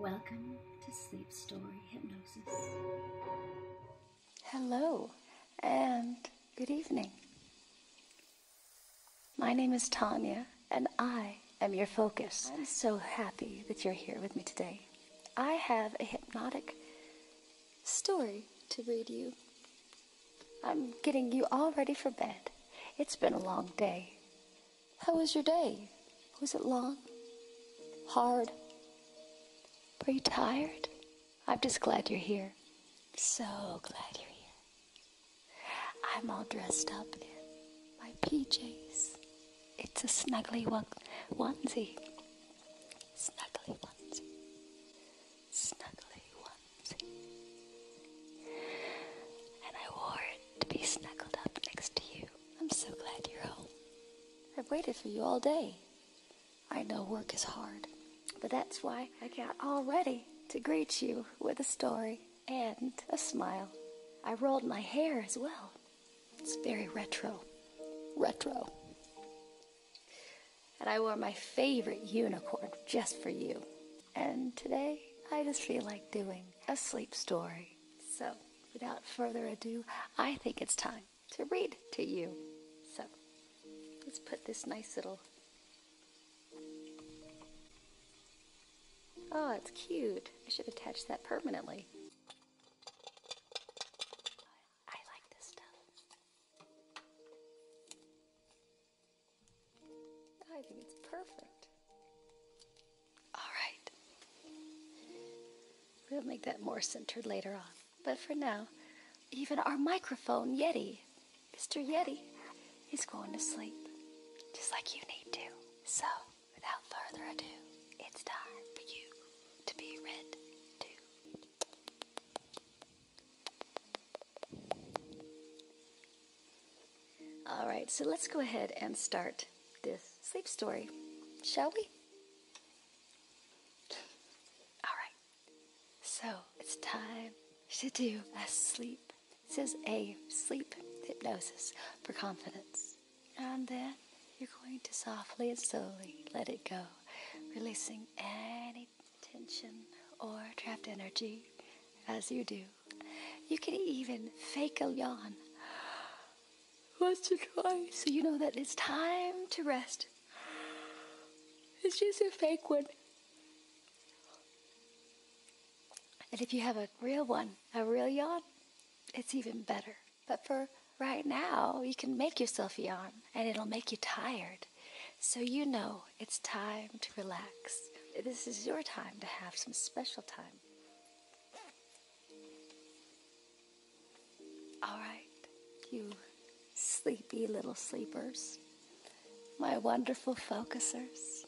Welcome to Sleep Story Hypnosis. Hello and good evening. My name is Tanya and I am your focus. I'm so happy that you're here with me today. I have a hypnotic story to read you. I'm getting you all ready for bed. It's been a long day. How was your day? Was it long? Hard? Were you tired? I'm just glad you're here. So glad you're here. I'm all dressed up in my PJs. It's a snuggly onesie. Snuggly onesie. Snuggly onesie. And I wore it to be snuggled up next to you. I'm so glad you're home. I've waited for you all day. I know work is hard, but that's why I got all ready to greet you with a story and a smile. I rolled my hair as well. It's very retro. Retro. And I wore my favorite unicorn just for you. And today I just feel like doing a sleep story. So without further ado, I think it's time to read to you. So let's put this nice little. Oh, it's cute. I should attach that permanently. I like this stuff. I think it's perfect. All right. We'll make that more centered later on. But for now, even our microphone, Yeti, Mr. Yeti, is going to sleep just like you need to. So, without further ado, it's time for you to be read to. All right, so let's go ahead and start this sleep story, shall we? All right, so it's time to do a sleep. This is a sleep hypnosis for confidence. And then you're going to softly and slowly let it go, releasing any tension or trapped energy as you do you. can even fake a yawn once or twice so you know that it's time to rest. It's just a fake one. And if you have a real one, a real yawn, it's even better. But for right now, you can make yourself yawn and it'll make you tired. So you know it's time to relax. This is your time to have some special time all right, you sleepy little sleepers, my wonderful focusers.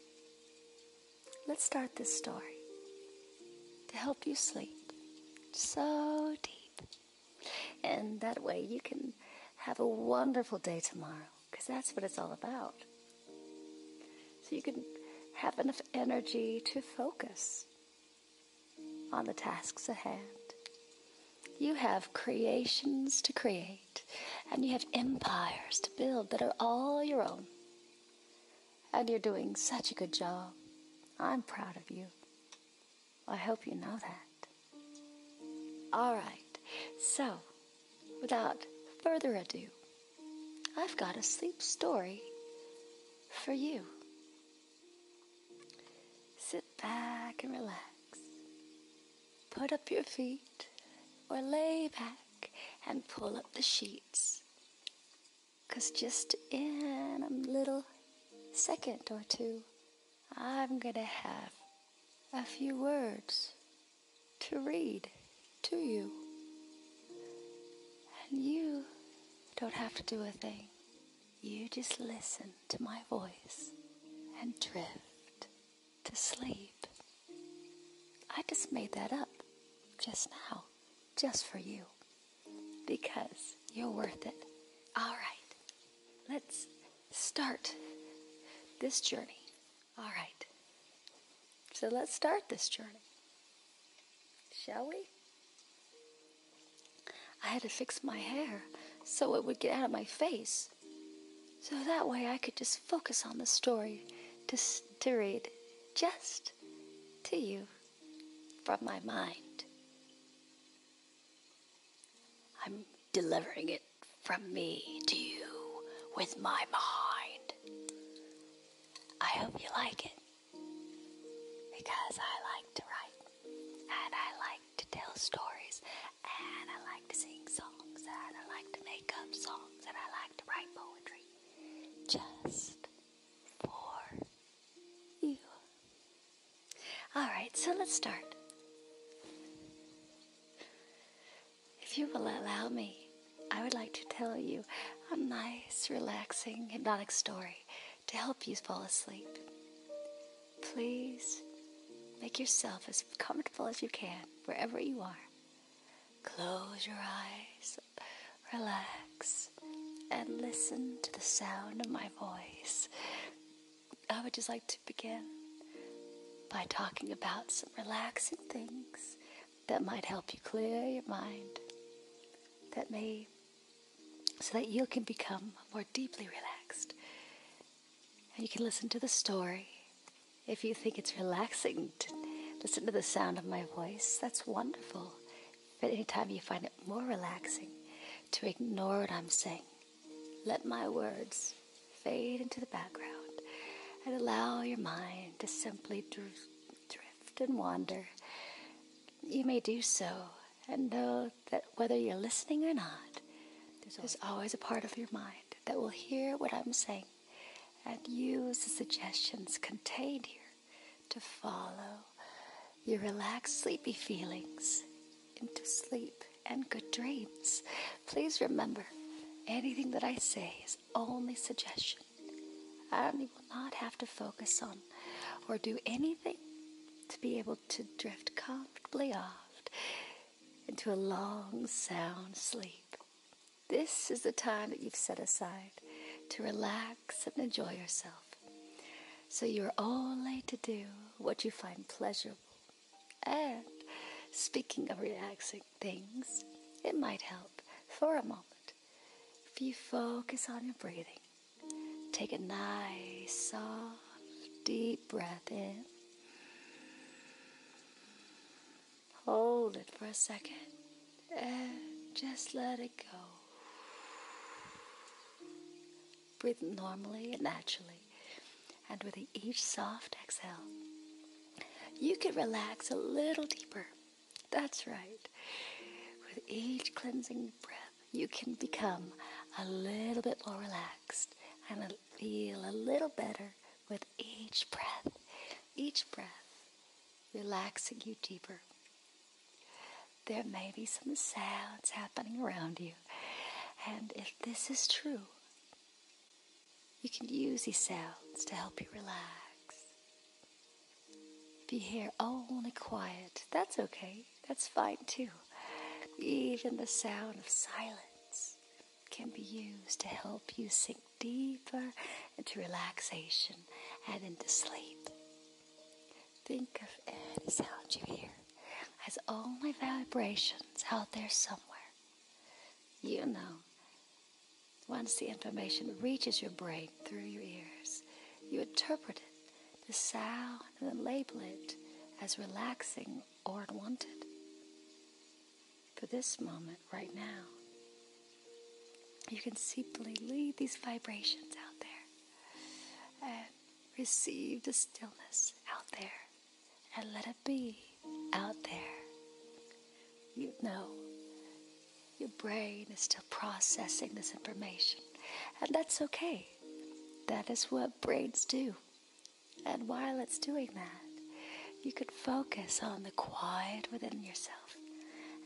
Let's start this story to help you sleep so deep. And that way you can have a wonderful day tomorrow, because that's what it's all about so you can have enough energy to focus on the tasks at hand. You have creations to create, and you have empires to build that are all your own. And you're doing such a good job. I'm proud of you. I hope you know that. All right, so Without further ado, I've got a sleep story for you. Sit back and relax. Put up your feet or lay back and pull up the sheets. Because just in a little second or two, I'm going to have a few words to read to you. And you don't have to do a thing. You just listen to my voice and drift to sleep. I just made that up just now, just for you, because you're worth it. All right, let's start this journey all right. So let's start this journey, shall we? I had to fix my hair so it would get out of my face. So that way I could just focus on the story to, to read just to you from my mind. I'm delivering it from me to you with my mind. I hope you like it because I like to write and I like to tell stories and I like to sing songs and I like to make up songs and I like to write poetry just for you. Alright, so let's start. If you will allow me, I would like to tell you a nice, relaxing, hypnotic story to help you fall asleep. Please make yourself as comfortable as you can wherever you are. Close your eyes, relax, and listen to the sound of my voice. I would just like to begin by talking about some relaxing things that might help you clear your mind, that may, so that you can become more deeply relaxed. And you can listen to the story. If you think it's relaxing to listen to the sound of my voice, that's wonderful. But anytime you find it more relaxing to ignore what I'm saying, let my words fade into the background and allow your mind to simmer simply drift, drift and wander, you may do so and know that whether you're listening or not, there's always a part of your mind that will hear what I'm saying and use the suggestions contained here to follow your relaxed, sleepy feelings into sleep and good dreams. Please remember anything that I say is only suggestion. I will not have to focus on or do anything to be able to drift comfortably off into a long, sound sleep. This is the time that you've set aside to relax and enjoy yourself. So you're only to do what you find pleasurable. And speaking of relaxing, things, it might help for a moment if you focus on your breathing. Take a nice, soft, deep breath in. Hold it for a second and just let it go. Breathe normally and naturally, and with each soft exhale, you can relax a little deeper. That's right. With each cleansing breath, you can become a little bit more relaxed and feel a little better with each breath, each breath, relaxing you deeper. There may be some sounds happening around you, and if this is true, you can use these sounds to help you relax. If you hear only quiet, that's okay. That's fine too. Even the sound of silence can be used to help you sink deeper into relaxation and into sleep. Think of any sound you hear as only vibrations out there somewhere. You know once the information reaches your brain through your ears, you interpret it, the sound, and label it as relaxing or unwanted. For this moment, right now, you can simply leave these vibrations out there and receive the stillness out there and let it be out there? You know, your brain is still processing this information, and that's okay. That is what brains do. And while it's doing that, you could focus on the quiet within yourself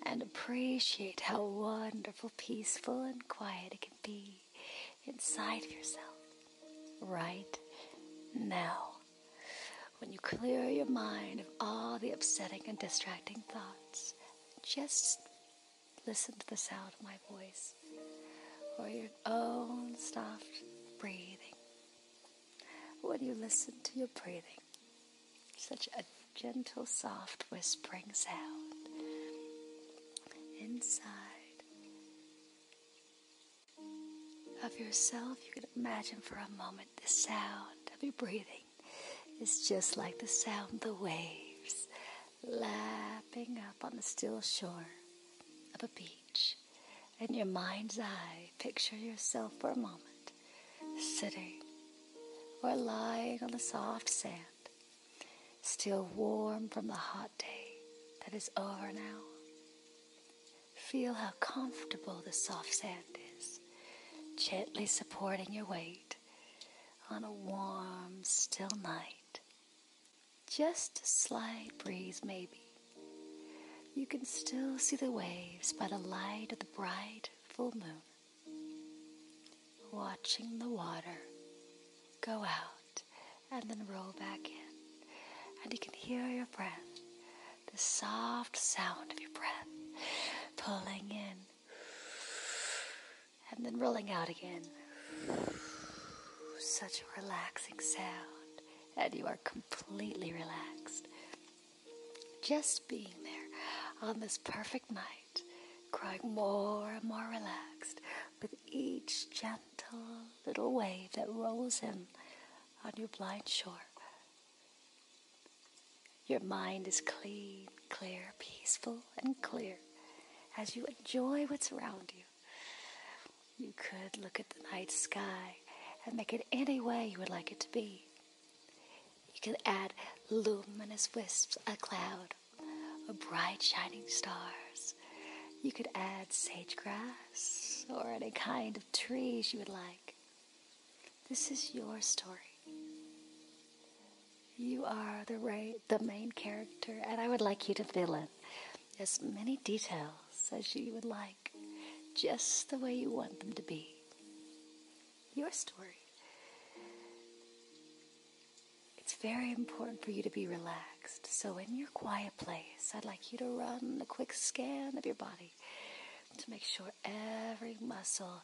and appreciate how wonderful, peaceful, and quiet it can be inside of yourself right now. When you clear your mind of all the upsetting and distracting thoughts, just listen to the sound of my voice or your own soft breathing. When you listen to your breathing, such a gentle, soft whispering sound inside of yourself, you can imagine for a moment the sound of your breathing is just like the sound of the waves lapping up on the still shore of a beach. In your mind's eye, picture yourself for a moment sitting or lying on the soft sand, still warm from the hot day that is over now. Feel how comfortable the soft sand is, gently supporting your weight on a warm, still night. Just a slight breeze, maybe. You can still see the waves by the light of the bright full moon. Watching the water go out and then roll back in, and you can hear your breath the soft sound of your breath, pulling in and then rolling out again. Such a relaxing sound, and you are completely relaxed. Just being there on this perfect night, growing more and more relaxed with each gentle little wave that rolls in on your blind shore your mind is clean, clear, peaceful, and clear as you enjoy what's around you. You could look at the night sky and make it any way you would like it to be. You could add luminous wisps, a cloud, or bright shining stars. You could add sage grass or any kind of trees you would like. This is your story. You are the main character, and I would like you to fill in as many details as you would like, just the way you want them to be. Your story. It's very important for you to be relaxed. So, in your quiet place, I'd like you to run a quick scan of your body to make sure every muscle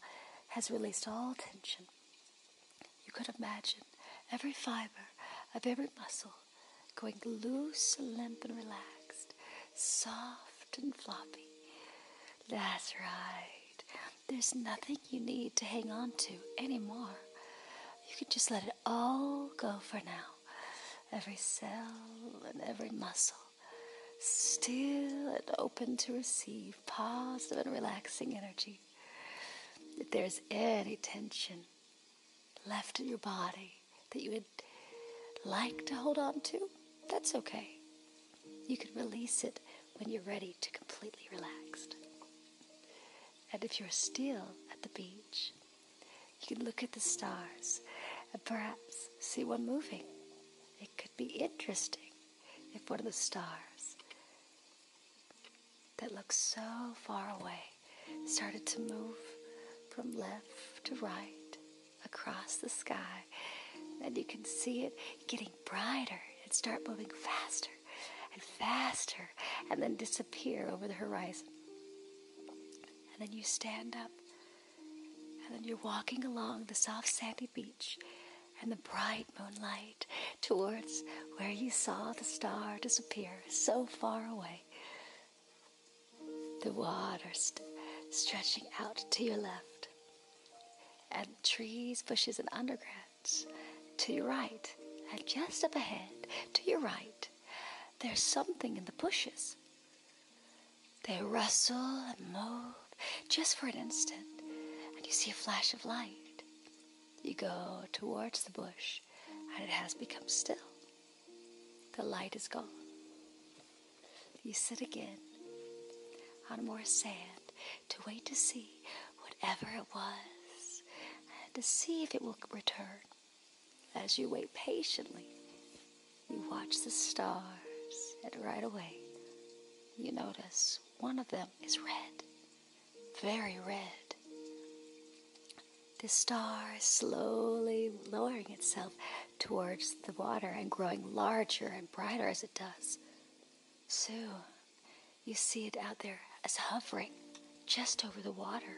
has released all tension. You could imagine every fiber of every muscle going loose, limp, and relaxed, soft and floppy. That's right. There's nothing you need to hang on to anymore. You can just let it all go for now. Every cell and every muscle still and open to receive positive and relaxing energy. If there's any tension left in your body that you would like to hold on to, that's okay. You can release it when you're ready to completely relaxed. And if you're still at the beach, you could look at the stars and perhaps see one moving. It could be interesting if one of the stars that looks so far away started to move from left to right across the sky. And you can see it getting brighter and start moving faster and faster and then disappear over the horizon. And then you stand up and then you're walking along the soft sandy beach and the bright moonlight towards where you saw the star disappear so far away. The water stretching out to your left, and trees, bushes, and undergrowths to your right, and just up ahead to your right, there's something in the bushes they rustle and move just for an instant, and you see a flash of light. You go towards the bush, and it has become still. The light is gone. You sit again on more sand to wait to see whatever it was and to see if it will return. As you wait patiently, you watch the stars, and right away, you notice one of them is red, very red. The star slowly lowering itself towards the water and growing larger and brighter as it does. Soon, you see it out there as hovering just over the water,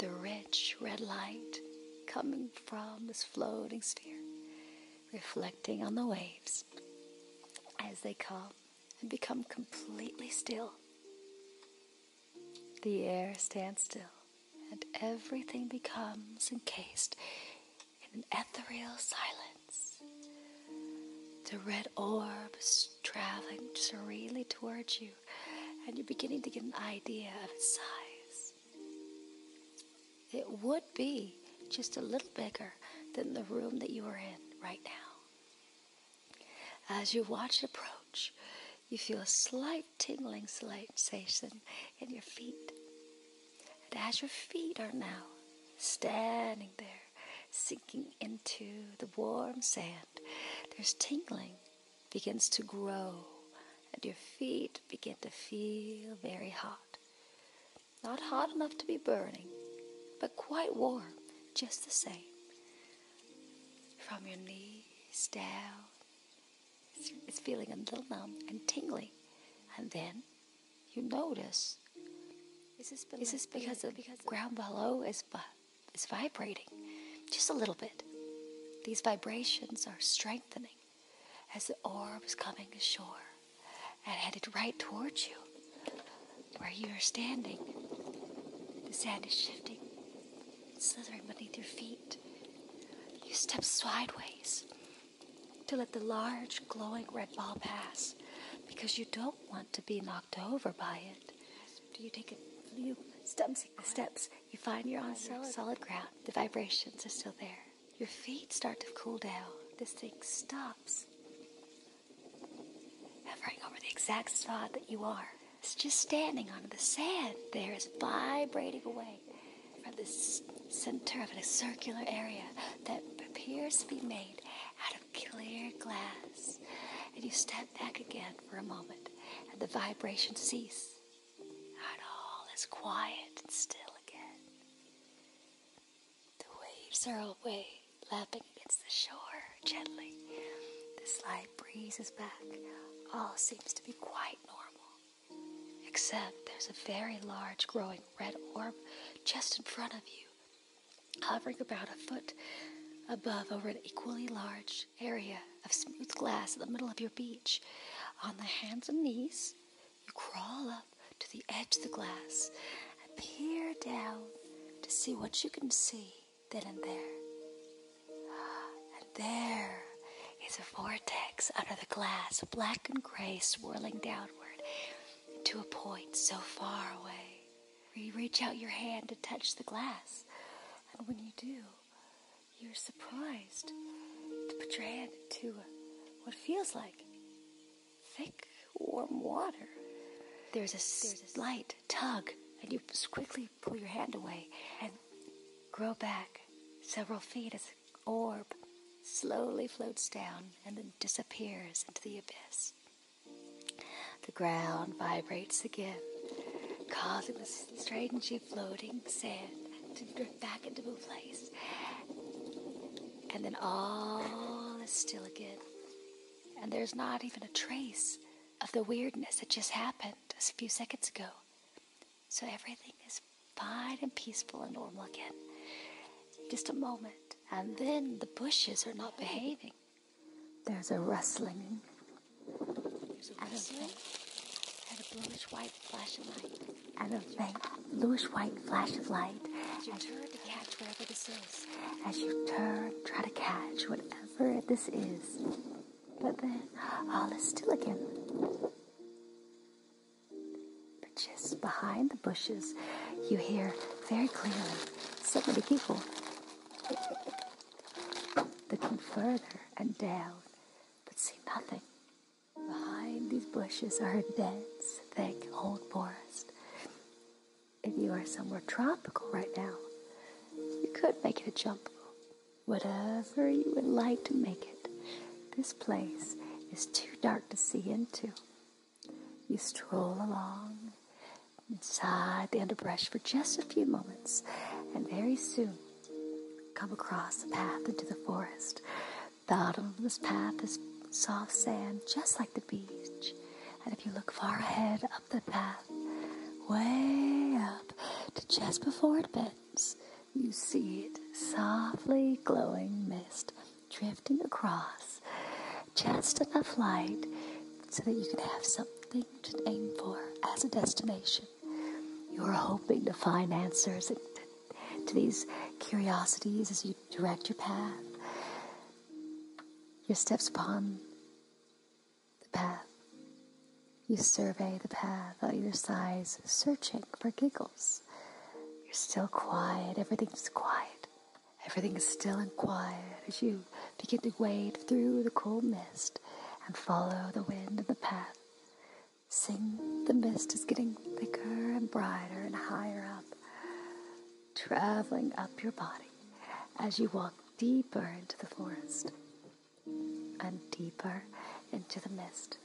the rich red light coming from this floating sphere, reflecting on the waves as they come and become completely still. The air stands still, and everything becomes encased in an ethereal silence. The red orb is traveling serenely towards you, and you're beginning to get an idea of its size. It would be just a little bigger than the room that you are in right now. As you watch it approach, you feel a slight tingling sensation in your feet. And as your feet are now standing there, sinking into the warm sand, there's tingling begins to grow and your feet begin to feel very hot. Not hot enough to be burning, but quite warm, just the same. From your knees down, it's feeling a little numb and tingling. And then you notice is this, because the ground below is, is vibrating just a little bit? These vibrations are strengthening as the oar was coming ashore and headed right towards you, where you are standing. The sand is shifting, slithering beneath your feet. You step sideways to let the large glowing red ball pass because you don't want to be knocked over by it. Do You take a few steps you find you're on solid, ground. The vibrations are still there. Your feet start to cool down. This thing stops. Hovering over the exact spot that you are. It's just standing on the sand. There is vibrating away from the center of a circular area that appears to be made out of clear glass. And you step back again for a moment, and the vibrations cease and all is quiet and still again. The waves are away, lapping against the shore gently. The slight breeze is back. All seems to be quite normal. Except there's a very large growing red orb just in front of you, hovering about a foot above over an equally large area of smooth glass in the middle of your beach. On the hands and knees, you crawl up to the edge of the glass and peer down to see what you can see then and there. And there is a vortex under the glass, black and gray, swirling downward to a point so far away. You reach out your hand to touch the glass, and when you do, you're surprised to put your hand into what feels like thick, warm water. There's a slight tug, and you quickly pull your hand away and grow back several feet as an orb slowly floats down and then disappears into the abyss. The ground vibrates again, causing this straight and she floating sand to drift back into a place. And then all is still again. And there's not even a trace of the weirdness that just happened just a few seconds ago. So everything is fine and peaceful and normal again. Just a moment. And then the bushes are not behaving. There's a rustling it a wrestling. bluish white flash of light. And a faint bluish white flash of light. As you turn to catch whatever this is. As you turn, try to catch whatever this is. But then all is still again. But just behind the bushes, you hear very clearly so somebody giggle. Looking further and down, but see nothing. Behind these bushes are a dense, thick old forest. If you are somewhere tropical right now, you could make it a jungle. Whatever you would like to make it, this place is too dark to see into. You stroll along inside the underbrush for just a few moments, and very soon come across a path into the forest. The Bottom of this path is soft sand, just like the beach. And if you look far ahead up the path, way up to just before it bends, you see it softly glowing mist drifting across, just enough light so that you can have something to aim for as a destination. You're hoping to find answers to these curiosities as you direct your path, your steps upon the path. You survey the path on your side, searching for giggles. You're still quiet, everything's quiet. Everything is still and quiet as you begin to wade through the cool mist and follow the wind of the path. Sing, the mist is getting thicker and brighter and higher up, traveling up your body as you walk deeper into the forest and deeper into the mist.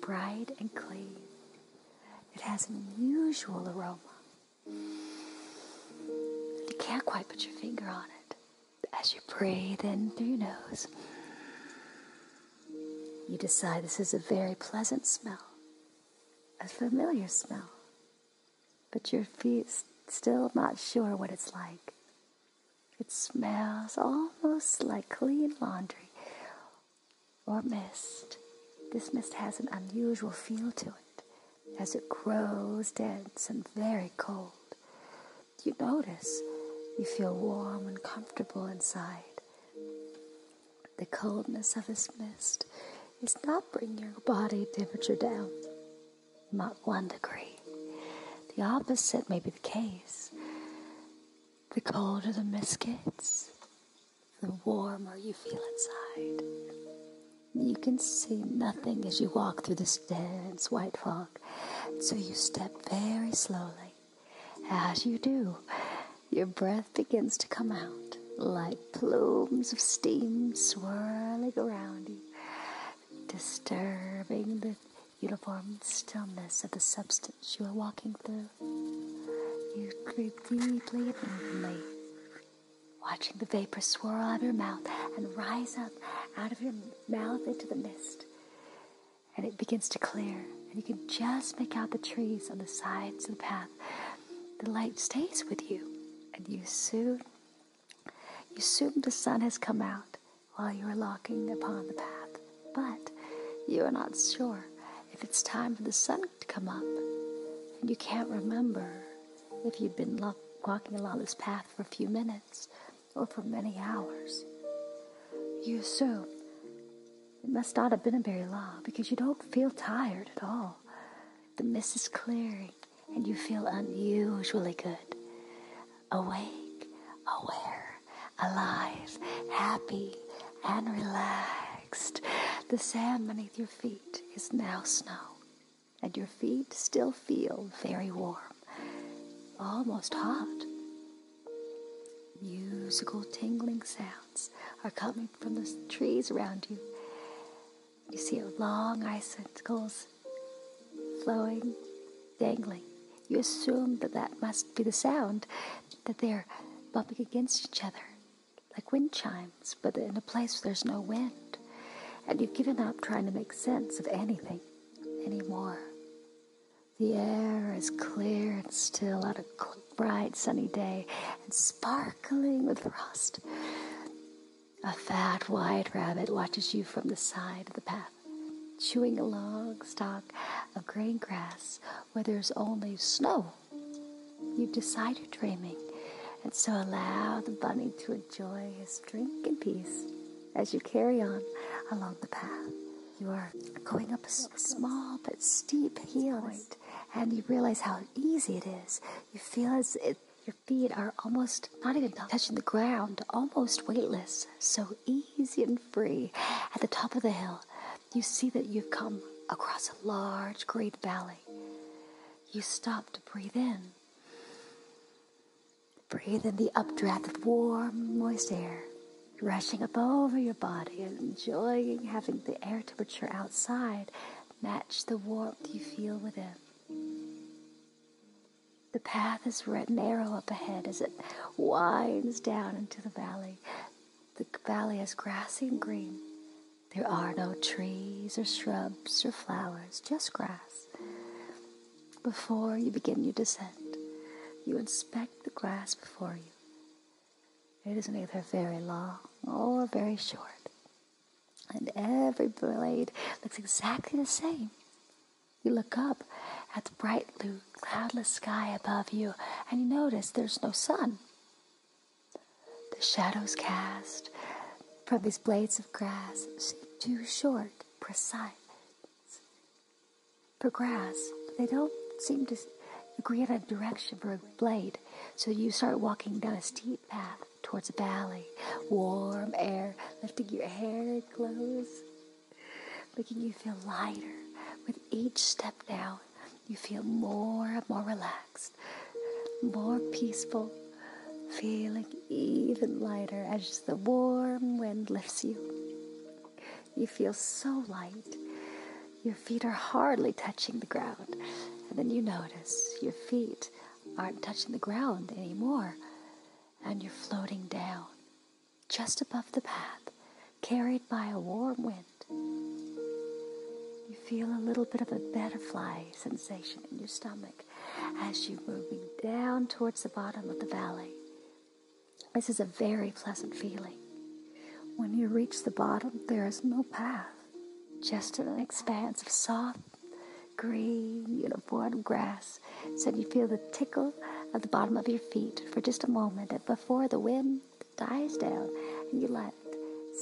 Bright and clean, it has an unusual aroma. You can't quite put your finger on it as you breathe in through your nose, you decide this is a very pleasant smell, a familiar smell, but your are still not sure what it's like. It smells almost like clean laundry or mist. This mist has an unusual feel to it as it grows dense and very cold you notice you feel warm and comfortable inside. The coldness of this mist is not bringing your body temperature down, not one degree. The opposite may be the case. The colder the mist gets, the warmer you feel inside. You can see nothing as you walk through this dense white fog. So you step very slowly. As you do, your breath begins to come out like plumes of steam swirling around you, disturbing the uniform stillness of the substance you are walking through. You breathe deeply and evenly, watching the vapor swirl out of your mouth and rise up out of your mouth into the mist and it begins to clear. And you can just make out the trees on the sides of the path. The light stays with you, and you soon you assume the sun has come out while you are walking upon the path, but you are not sure if it's time for the sun to come up, and you can't remember if you've been walking along this path for a few minutes or for many hours. You assume it must not have been a very long because you don't feel tired at all. The mist is clearing and you feel unusually good. Awake, aware, alive, happy, and relaxed. The sand beneath your feet is now snow, and your feet still feel very warm, almost hot. Musical tingling sounds are coming from the trees around you. You see long icicles flowing, dangling. You assume that that must be the sound that they're bumping against each other, like wind chimes, but in a place where there's no wind. And you've given up trying to make sense of anything anymore. The air is clear and still on a bright sunny day and sparkling with frost. A fat white rabbit watches you from the side of the path, chewing a long stalk of green grass where there's only snow. You've decide decided dreaming, and so allow the bunny to enjoy his drink in peace as you carry on along the path. You are going up a small but steep hill, and you realize how easy it is. You feel as if your feet are almost not even touching the ground, almost weightless, so easy and free. At the top of the hill, you see that you've come across a large, great valley. You stop to breathe in Breathe in the updraft of warm, moist air rushing up over your body and enjoying having the air temperature outside match the warmth you feel within. The path is narrow up ahead as it winds down into the valley. The valley is grassy and green. There are no trees or shrubs or flowers, just grass. Before you begin your descent, you inspect the grass before you. It is isn't either very long or very short, and every blade looks exactly the same. You look up at the bright blue, cloudless sky above you, and you notice there's no sun. The shadows cast from these blades of grass seem too short, precise, Progress. they don't seem to agree on a direction for a blade. So you start walking down a steep path towards a valley. Warm air lifting your hair close, making you feel lighter. With each step down, you feel more and more relaxed, more peaceful, feeling even lighter as the warm wind lifts you. You feel so light. Your feet are hardly touching the ground. And then you notice your feet aren't touching the ground anymore. And you're floating down, just above the path, carried by a warm wind. You feel a little bit of a butterfly sensation in your stomach as you move moving down towards the bottom of the valley. This is a very pleasant feeling. When you reach the bottom, there is no path, just an expanse of soft, green, uniform grass. So you feel the tickle of the bottom of your feet for just a moment before the wind dies down and you lie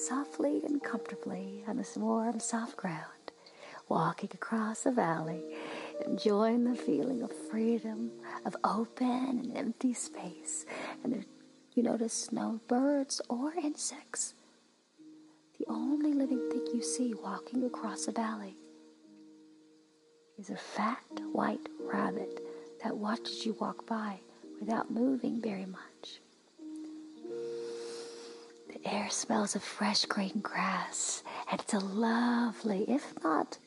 softly and comfortably on this warm, soft ground walking across a valley, enjoying the feeling of freedom, of open and empty space. And you notice no birds or insects. The only living thing you see walking across a valley is a fat white rabbit that watches you walk by without moving very much. The air smells of fresh green grass, and it's a lovely, if not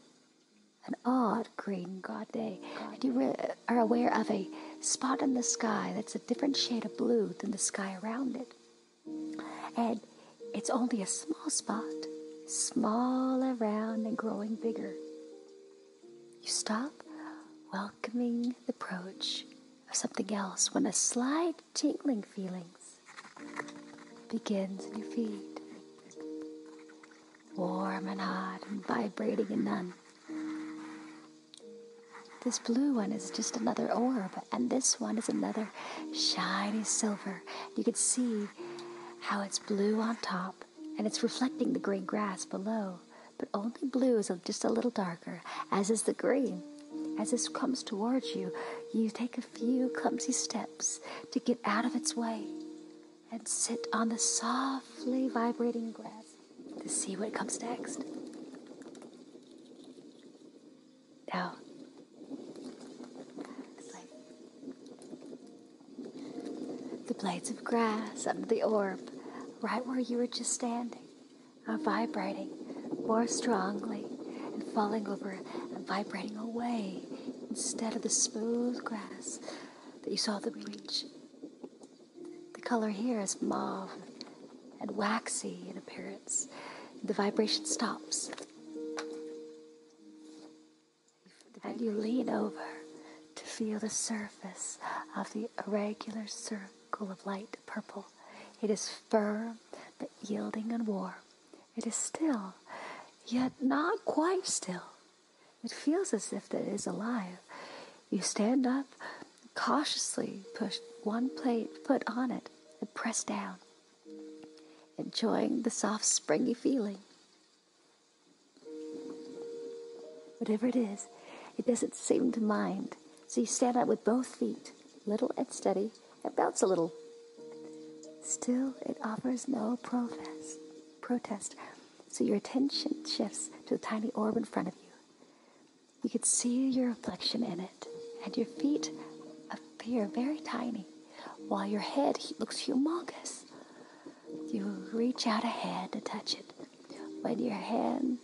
an odd green god day. And you are aware of a spot in the sky that's a different shade of blue than the sky around it. And it's only a small spot, small around and growing bigger. You stop, welcoming the approach of something else, when a slight soft tingling feelings begins in your feet, warm and hot and vibrating and none. This blue one is just another orb, and this one is another shiny silver. You can see how it's blue on top, and it's reflecting the green grass below. But only blue is just a little darker, as is the green. As this comes towards you, you take a a few clumsy steps to get out of its way and sit on the softly vibrating grass to see what comes next. Now, the blades of grass under the orb, right where you were just standing, are vibrating more strongly, and falling over and vibrating away instead of the smooth grass that you saw at the beach. The color here is mauve and waxy in appearance. The vibration stops. And you lean over to feel the surface of the irregular circle of light purple. It is firm but yielding and warm. It is still, yet not quite still. It feels as if it is alive. You stand up, cautiously push one plate foot on it, and press down, enjoying the soft, springy feeling. Whatever it is, it doesn't seem to mind. So you stand up with both feet, little and steady, it bounce a little. Still, it offers no protest. protest. So your attention shifts to the tiny orb in front of you. You can see your reflection in it, and your feet appear very tiny, while your head looks humongous. You reach out a hand to touch it. When your hand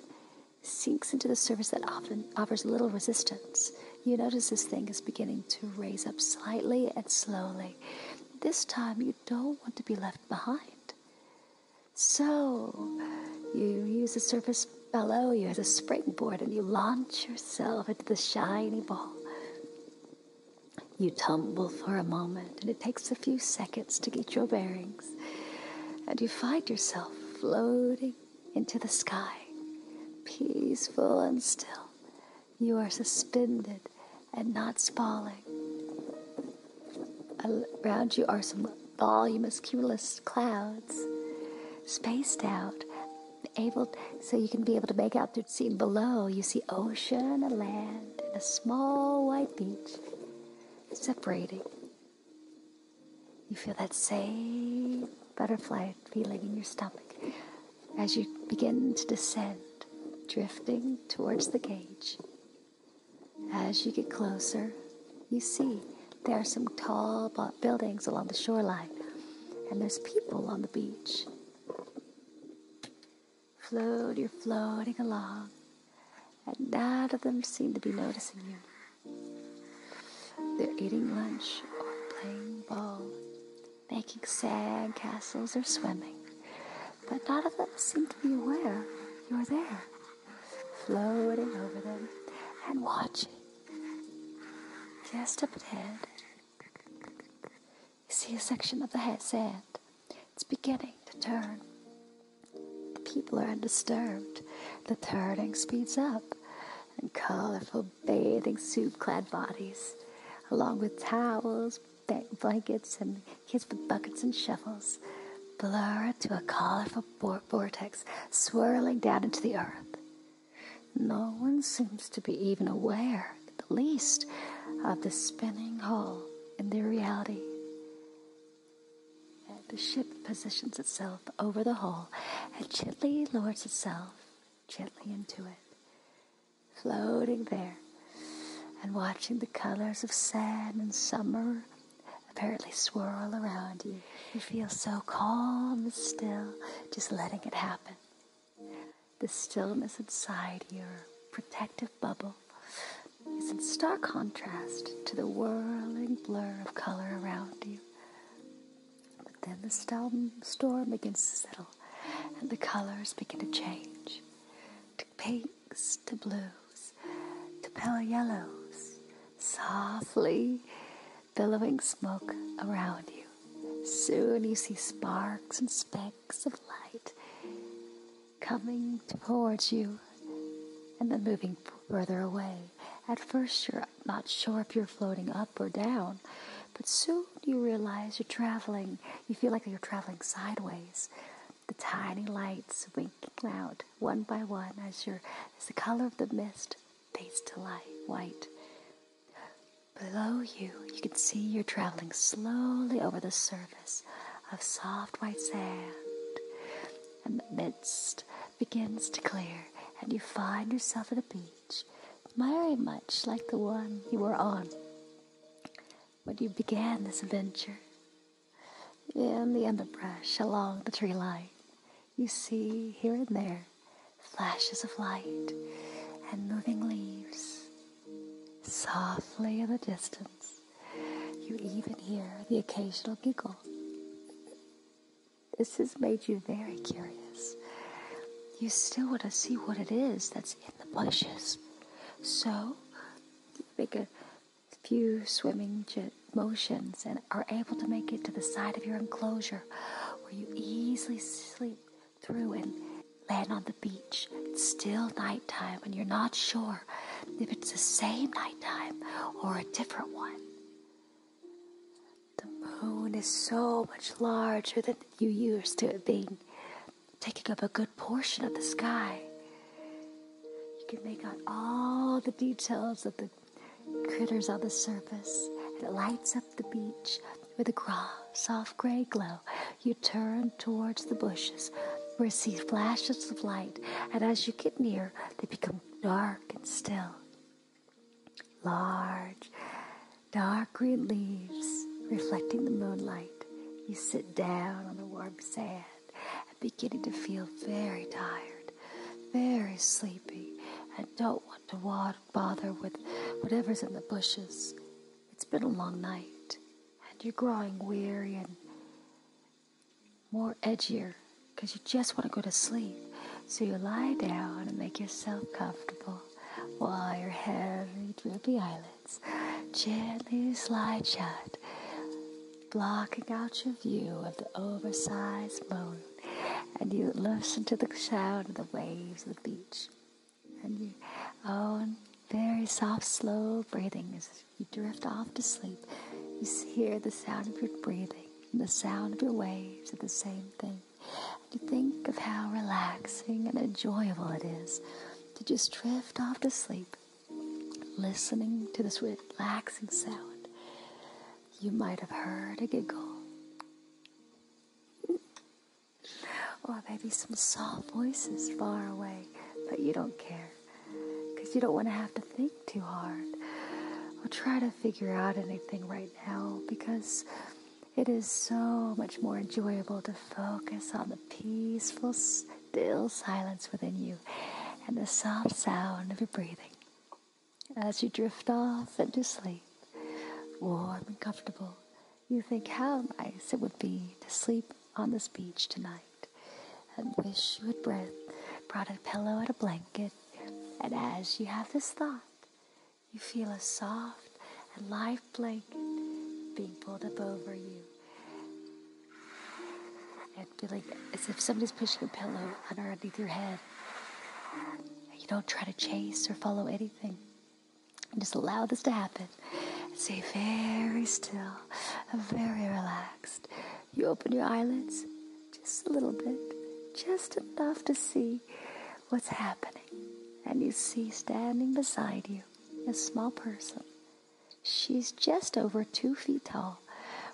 sinks into the surface that often offers little resistance, you notice this thing is beginning to raise up slightly and slowly. This time, you don't want to be left behind. So, you use the surface below you as a springboard and you launch yourself into the shiny ball. You tumble for a moment, and it takes a few seconds to get your bearings. And you find yourself floating into the sky, peaceful and still. You are suspended and not falling. Around you are some voluminous cumulus clouds, spaced out, able so you can be able to make out the scene below. You see ocean, a land, and a small white beach separating. You feel that same butterfly feeling in your stomach as you begin to descend, drifting towards the cage. As you get closer, you see there are some tall buildings along the shoreline, and there's people on the beach. Float, you're floating along, and none of them seem to be noticing you. They're eating lunch or playing ball, making sand castles or swimming. But none of them seem to be aware you're there, floating over them and watching. Just up ahead, you see a section of the sand. It's beginning to turn. The people are undisturbed. The turning speeds up, and colorful bathing suit clad bodies, along with towels, blankets, and kids with buckets and shovels, blur to a colorful vortex swirling down into the earth. No one seems to be even aware, at the least, of the spinning hole in their reality. The ship positions itself over the hole and gently lowers itself gently into it, floating there and watching the colors of sand and summer apparently swirl around you. You feel so calm and still, just letting it happen. The stillness inside your protective bubble is in stark contrast to the whirling blur of color around you. But then the storm begins to settle and the colors begin to change to pinks, to blues, to pale yellows, softly billowing smoke around you. Soon you see sparks and specks of light coming towards you and then moving further away. At first, you're not sure if you're floating up or down. But soon you realize you're traveling. You feel like you're traveling sideways. The tiny lights winking out one by one as, you as the color of the mist fades to light white. Below you, you can see you're traveling slowly over the surface of soft white sand, and the mist begins to clear, and you find yourself at a beach very much like the one you were on when you began this adventure. In the underbrush along the tree line, you see here and there flashes of light and moving leaves. Softly in the distance, you even hear the occasional giggle. This has made you very curious. You still want to see what it is that's in the bushes. So, make a few swimming motions and are able to make it to the side of your enclosure where you easily sleep through and land on the beach. It's still nighttime and you're not sure if it's the same nighttime or a different one. The moon is so much larger than you used to it being, taking up a good portion of the sky. You can make out all the details of the critters on the surface, and it lights up the beach with a soft gray glow. You turn towards the bushes where you see flashes of light, and as you get near, they become dark and still. Large, dark green leaves reflecting the moonlight. You sit down on the warm sand and beginning to feel very tired, very sleepy, and don't want to bother with whatever's in the bushes. It's been a long night, and you're growing weary and more edgier because you just want to go to sleep. So you lie down and make yourself comfortable while your heavy, droopy eyelids gently slide shut, blocking out your view of the oversized moon. And you listen to the sound of the waves of the beach. And your own very soft, slow breathing as you drift off to sleep. You hear the sound of your breathing and the sound of your waves are the same thing. And think of how relaxing and enjoyable it is to just drift off to sleep, listening to this relaxing sound. You might have heard a giggle, or maybe some soft voices far away, but you don't care because you don't want to have to think too hard or try to figure out anything right now because it is so much more enjoyable to focus on the peaceful, still silence within you and the soft sound of your breathing as you drift off into sleep, warm and comfortable. You think how nice it would be to sleep on this beach tonight and wish you had brought a pillow and a blanket. And as you have this thought, you feel a soft and light blanket being pulled up over you. And feeling as if somebody's pushing a pillow underneath your head. You don't try to chase or follow anything. just allow this to happen. stay very still, very relaxed. You open your eyelids just a little bit, just enough to see what's happening. And you see standing beside you a small person. She's just over two feet tall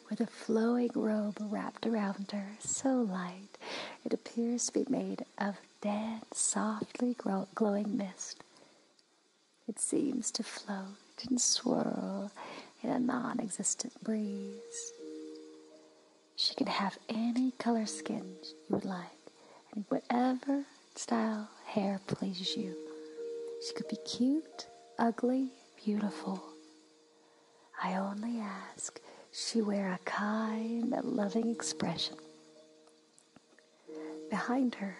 with a flowing robe wrapped around her, so light it appears to be made of dead, softly glowing mist. It seems to float and swirl in a non existent breeze. She can have any color skin you would like and whatever style hair pleases you. She could be cute, ugly, beautiful. I only ask she wear a kind and loving expression. Behind her,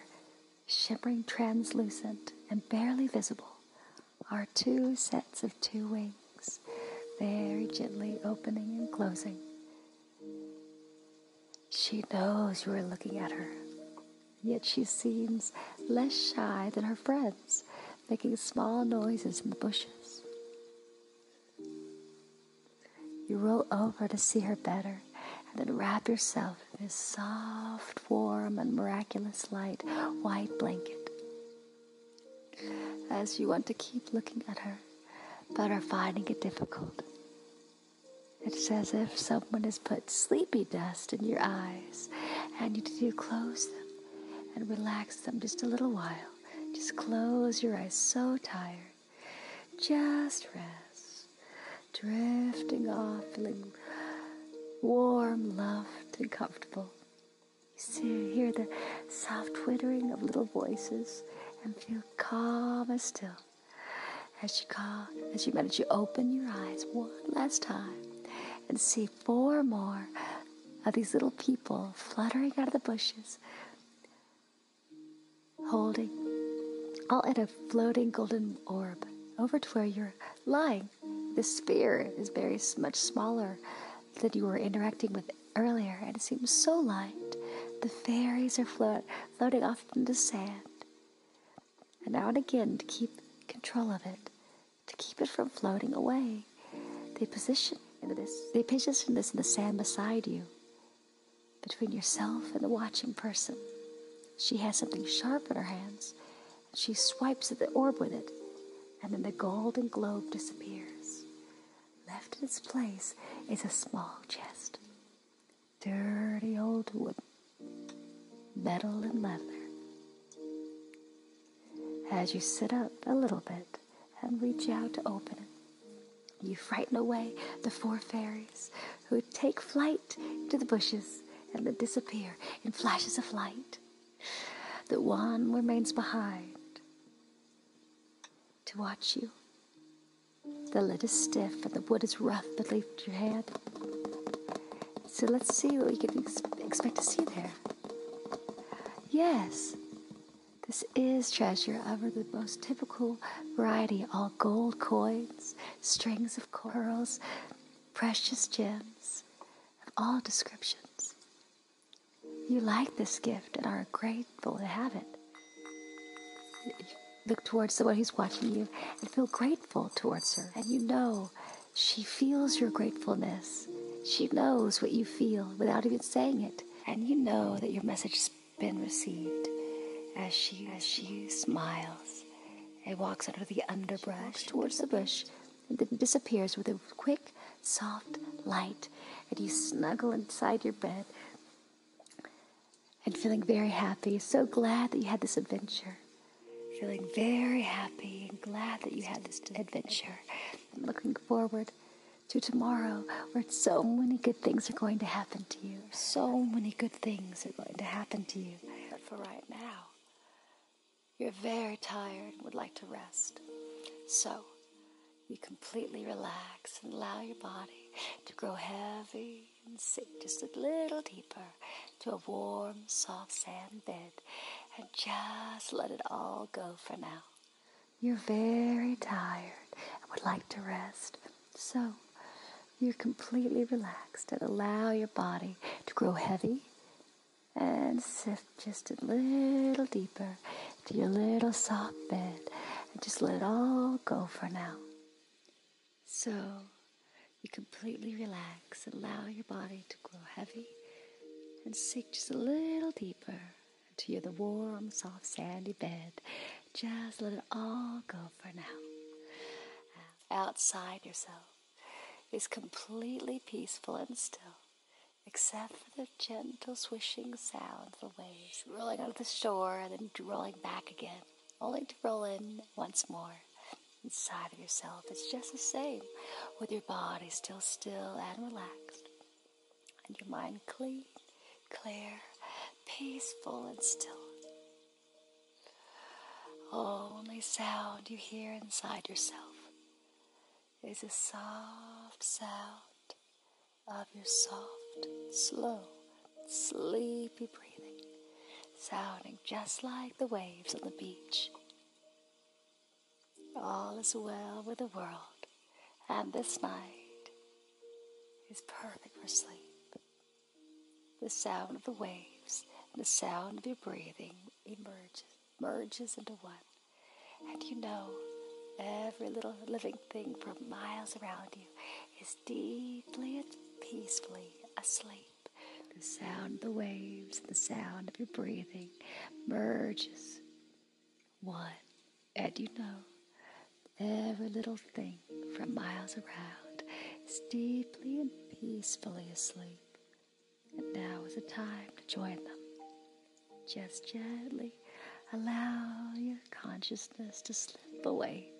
shimmering translucent and barely visible, are two sets of two wings, very gently opening and closing. She knows you are looking at her, yet she seems less shy than her friends, making small noises in the bushes. You roll over to see her better and then wrap yourself in this soft, warm, and miraculous light white blanket as you want to keep looking at her but are finding it difficult. It's as if someone has put sleepy dust in your eyes and you need to close them and relax them just a little while. Just close your eyes, so tired. Just rest, drifting off, feeling warm, loved, and comfortable. You hear the soft twittering of little voices and feel calm and still. As you call, as you meditate, you open your eyes one last time and see four more of these little people fluttering out of the bushes, holding all in a floating golden orb over to where you're lying. The sphere is very much smaller that you were interacting with earlier, and it seems so light. The fairies are floating off in the sand. And now and again, to keep control of it, to keep it from floating away, they position this. They position this in the sand beside you, between yourself and the watching person. She has something sharp in her hands. and She swipes at the orb with it and then the golden globe disappears. Left in its place is a small chest. Dirty old wood, metal and leather. As you sit up a little bit and reach out to open it, you frighten away the four fairies who take flight to the bushes and then disappear in flashes of light that one remains behind to watch you. The lid is stiff and the wood is rough, but leave your hand. So let's see what we can expect to see there. Yes, this is treasure of the most typical variety all gold coins, strings of pearls, precious gems of all descriptions. You like this gift and are grateful to have it. Look towards the one who's watching you and feel grateful towards her. And you know she feels your gratefulness. She knows what you feel without even saying it. And you know that your message has been received as she, as she smiles and walks under the underbrush towards the bush and then disappears with a quick, soft light, and you snuggle inside your bed and feeling very happy, so glad that you had this adventure. Feeling very happy and glad that you had this adventure. And looking forward to tomorrow where so many good things are going to happen to you. So many good things are going to happen to you. But for right now, you're very tired and would like to rest. So, you completely relax and allow your body to grow heavy and sink just a little deeper to a warm, soft sand bed and just let it all go for now. You're very tired and would like to rest. So, you're completely relaxed and allow your body to grow heavy and sift just a little deeper to your little soft bed and just let it all go for now. So you completely relax and allow your body to grow heavy and sink just a little deeper into the warm, soft, sandy bed. Just let it all go for now. Outside yourself is completely peaceful and still except for the gentle swishing sound of the waves rolling out onto the shore and then rolling back again, only to roll in once more. Inside of yourself, it's just the same, with your body still still and relaxed, and your mind clean, clear, peaceful, and still. Only sound you hear inside yourself is the soft sound of your soft, slow, sleepy breathing, sounding just like the waves on the beach. All is well with the world, and this night is perfect for sleep. The sound of the waves and the sound of your breathing emerges merges into one. And you know, every little living thing from miles around you is deeply and peacefully asleep. The sound of the waves, the sound of your breathing merges one. And you know, every little thing from miles around is deeply and peacefully asleep. And now is the time to join them. Just gently allow your consciousness to slip away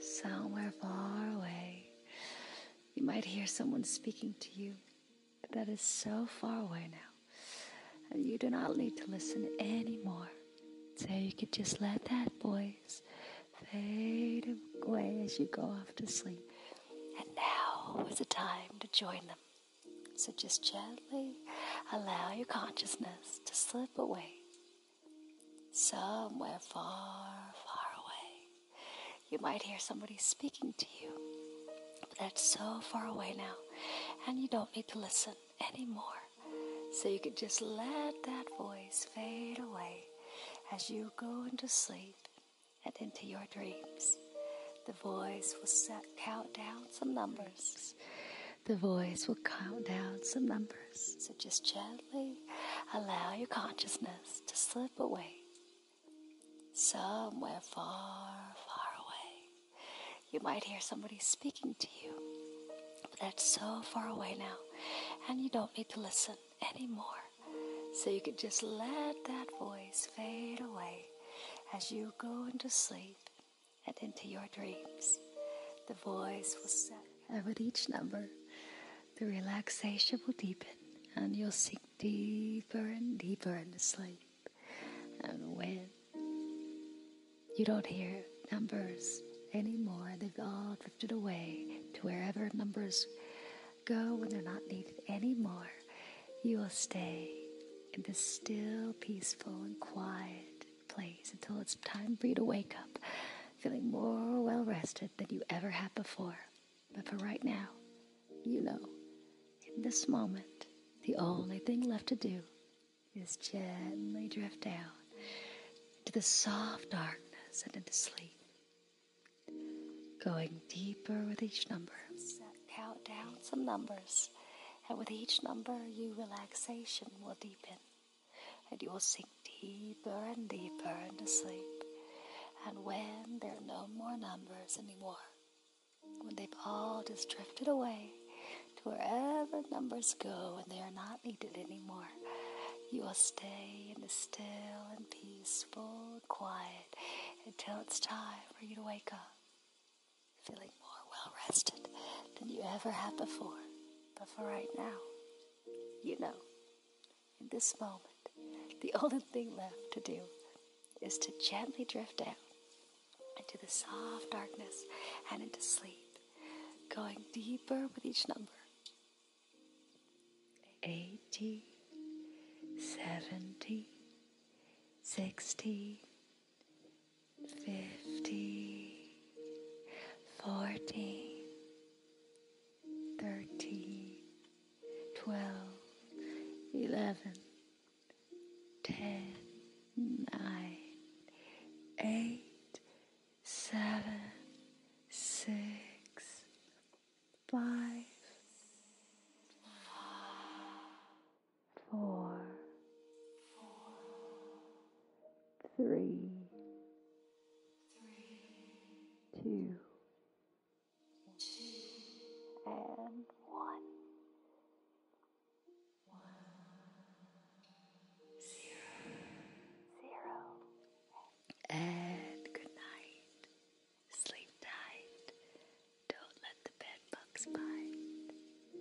somewhere far away. You might hear someone speaking to you, but that is so far away now. And you do not need to listen anymore. So you could just let that voice fade away as you go off to sleep. And now is the time to join them. So just gently allow your consciousness to slip away somewhere far, far away. You might hear somebody speaking to you, but that's so far away now, and you don't need to listen anymore. So you can just let that voice fade away as you go into sleep and into your dreams. The voice will count down some numbers. The voice will count down some numbers. So just gently allow your consciousness to slip away somewhere far, far away. You might hear somebody speaking to you, but that's so far away now, and you don't need to listen anymore. So you can just let that voice fade away as you go into sleep and into your dreams, the voice will say, And with each number, the relaxation will deepen and you'll sink deeper and deeper into sleep. And when you don't hear numbers anymore, they've all drifted away to wherever numbers go when they're not needed anymore, you will stay in this still, peaceful, and quiet place until it's time for you to wake up feeling more well rested than you ever have before. But for right now, you know, in this moment, the only thing left to do is gently drift down to the soft darkness and into sleep. Going deeper with each number. Count down some numbers, and with each number, your relaxation will deepen, and you will sink deeper and deeper into sleep. And when there are no more numbers anymore, when they've all just drifted away to wherever numbers go and they are not needed anymore, you will stay in the still and peaceful, quiet until it's time for you to wake up feeling more well rested than you ever have before. But for right now, you know, in this moment, the only thing left to do is to gently drift down into the soft darkness and into sleep, going deeper with each number. 80, 70, sixty, fifty, forty, thirty, twelve, eleven, ten, nine, eight, seven, six, five, four, three, two, and one. And good night. Sleep tight. Don't let the bed bugs bite.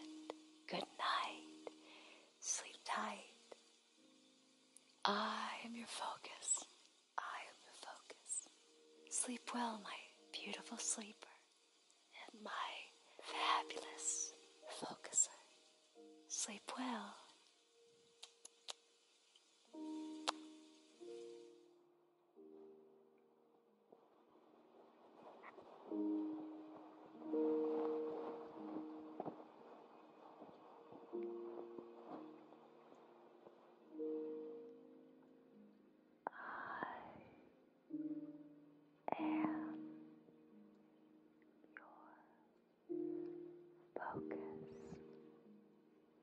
And good night. Sleep tight. I am your focus. I am your focus. Sleep well, my beautiful sleeper, and my fabulous focuser. Sleep well, I am your focus,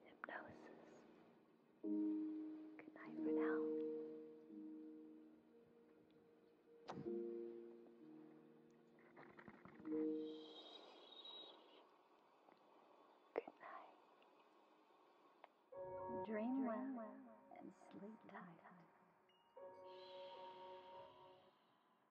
hypnosis. Good night for now. Good night. Dream well and sleep tight.